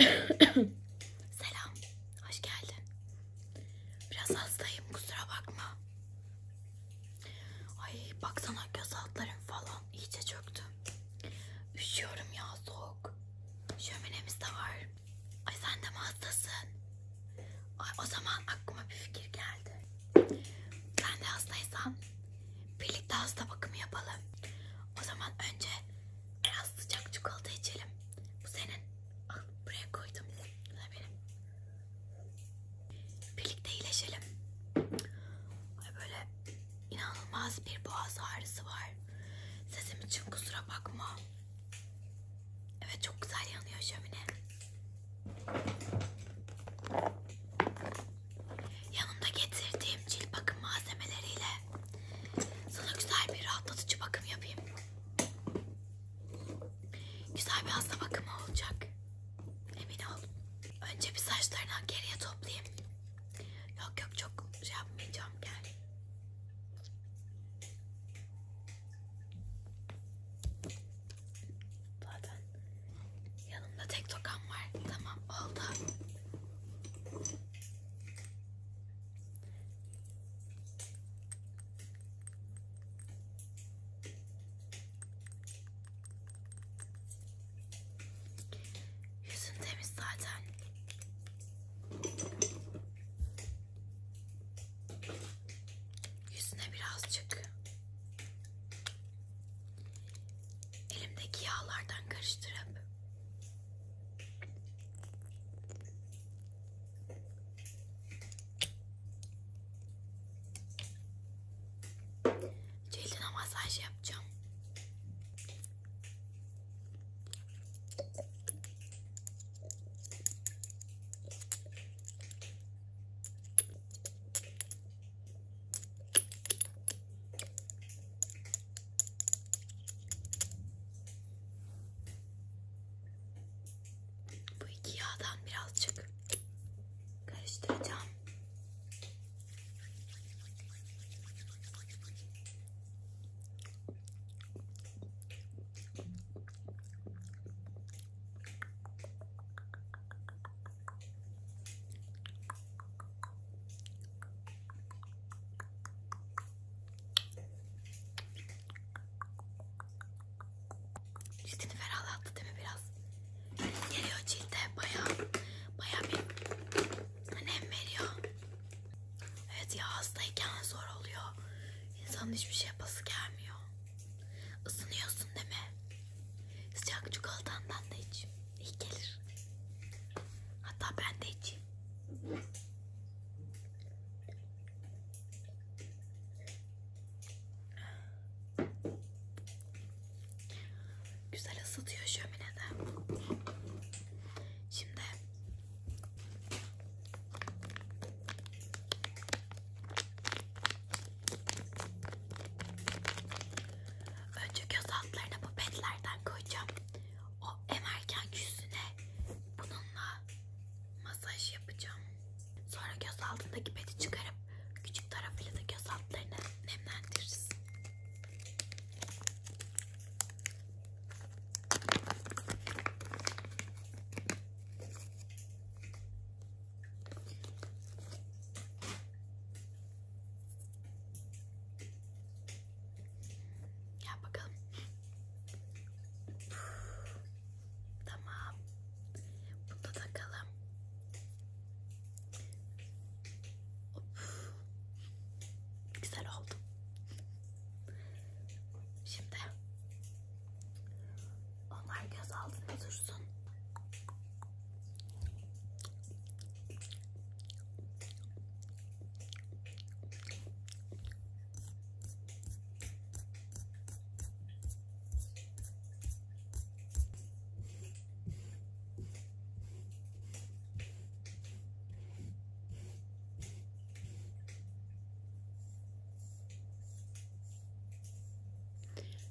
Selam. Hoş geldin. Biraz hastayım. Kusura bakma. Ay baksana göz altlarım falan iyice çöktü. Üşüyorum ya soğuk. Şöminemiz de var. Ay sen de mi hastasın? Ay o zaman aklıma bir fikir geldi. Ben de hastaysam birlikte hasta bakımı yapalım. O zaman önce biraz sıcak çikolata içelim. Bu senin. Al buraya koydum. Bu da benim. Birlikte iyileşelim. Ay böyle inanılmaz bir boğaz ağrısı var. Sesim için kusura bakma. Evet çok güzel yanıyor şömine. Yanımda getirdiğim cilt bakım malzemeleriyle sana güzel bir rahatlatıcı bakım yapayım. Güzel bir hasta bakımı olacak. Emin ol. Önce bir saçlarından geriye toplayayım. Yok yok çok şey yapmayacağım gel. Zaten yanımda tek tokam var. Tamam oldu. Yüzün temiz zaten. Yüzüne birazcık elimdeki yağlardan karıştırıp cildine masaj yapacağım. Bu iki yağdan birazcık karıştıracağım. Cildini ferahlattı değil mi biraz? Geliyor cilde baya baya bir önem veriyor. Evet ya hastayken zor oluyor. İnsanın hiçbir şey yapası gelmiyor. Isınıyorsun değil mi? Sıcak çikolatandan da iç. İyi gelir. Hatta ben de içeyim. Güzel ısıtıyor şöminede. Şimdi Önce göz altlarına bu petlerden koyacağım. O emerken yüzüne bununla masaj yapacağım. Sonra göz altındaki peti çıkarıp küçük tarafıyla da göz altlarını nemlendiririz. Ya bakalım. Tamam. Bunu da takalım. Of. Güzel oldu. Şimdi Onlar göz altında dursun.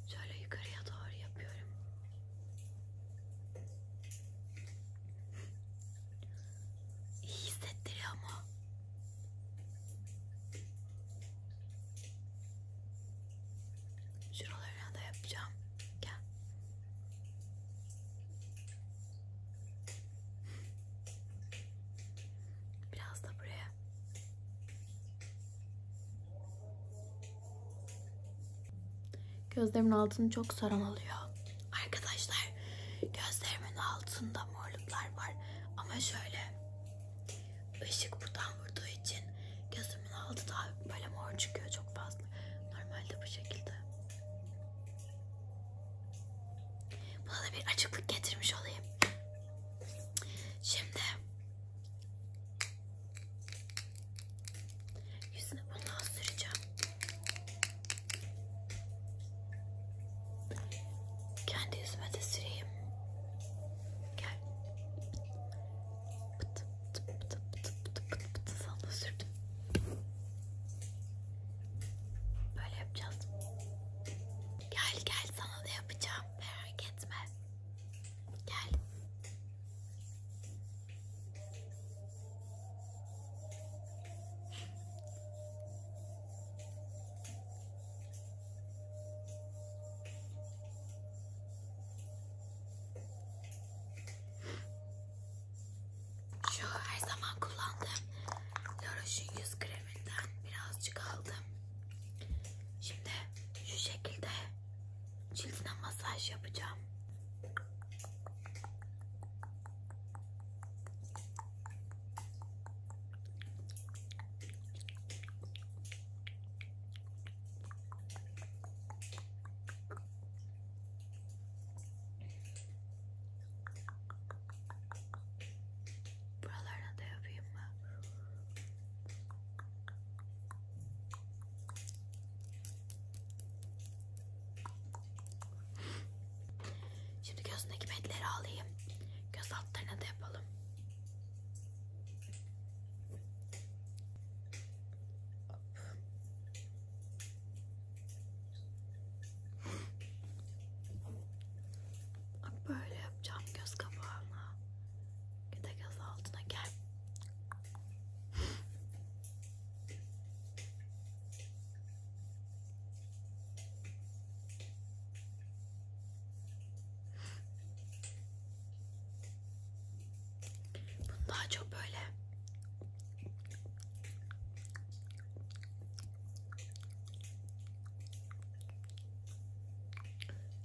Şöyle yukarıya doğru yapıyorum. İyi hissettiriyor mu? Şuralarına da yapacağım. Gel. Biraz da buraya. Gözlerimin altını çok saran alıyor. Arkadaşlar gözlerimin altında morluklar var. Ama şöyle ışık buradan vurduğu için gözümün altı daha böyle mor çıkıyor çok fazla. Normalde bu şekilde. Buna da bir açıklık getirmiş olayım. Şimdi Yüzüne bundan süreceğim. Kendi yüzüme de süreyim. Gel. Pıt pıt pıt pıt pıt pıt pıt sana da sürdüm. Böyle yapacağız. Gel gel sana da yapacağım. Merak etme. Gel. Şu her zaman kullandığım Laroche'un yüz kreminden birazcık aldım. Şimdi şu şekilde Cildine masaj yapacağım. Buralarına da yapayım mı? Şimdi gözündeki bedleri alayım. Göz altlarına da yapalım. Böyle yapacağım göz kapağına. Bir de göz altına gel. Bunu daha çok böyle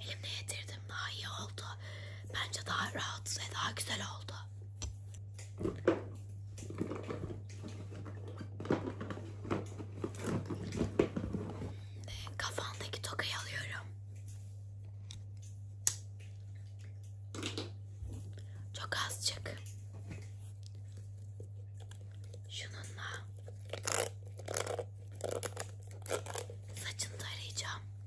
Elimle yedirdim daha iyi oldu. Bence daha rahat ve daha güzel oldu. Kafandaki tokayı alıyorum. Çok azıcık. Şununla saçını tarayacağım.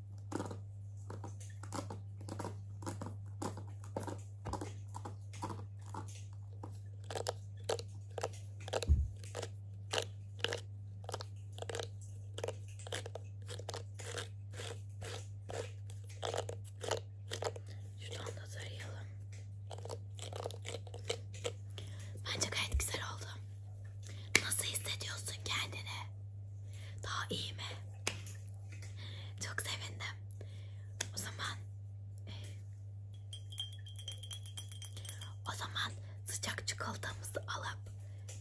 Şuradan da tarayalım. Bence gayet güzel oldu. Nasıl hissediyorsun kendini? Daha iyi mi? Çok sevindim. O zaman e, o zaman sıcak çikolatamızı alıp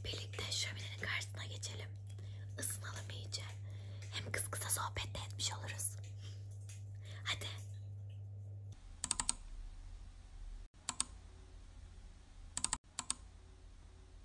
birlikte şöminenin karşısına geçelim. Isınalım iyice. Hem kız kısa sohbet de etmiş oluruz. Hadi.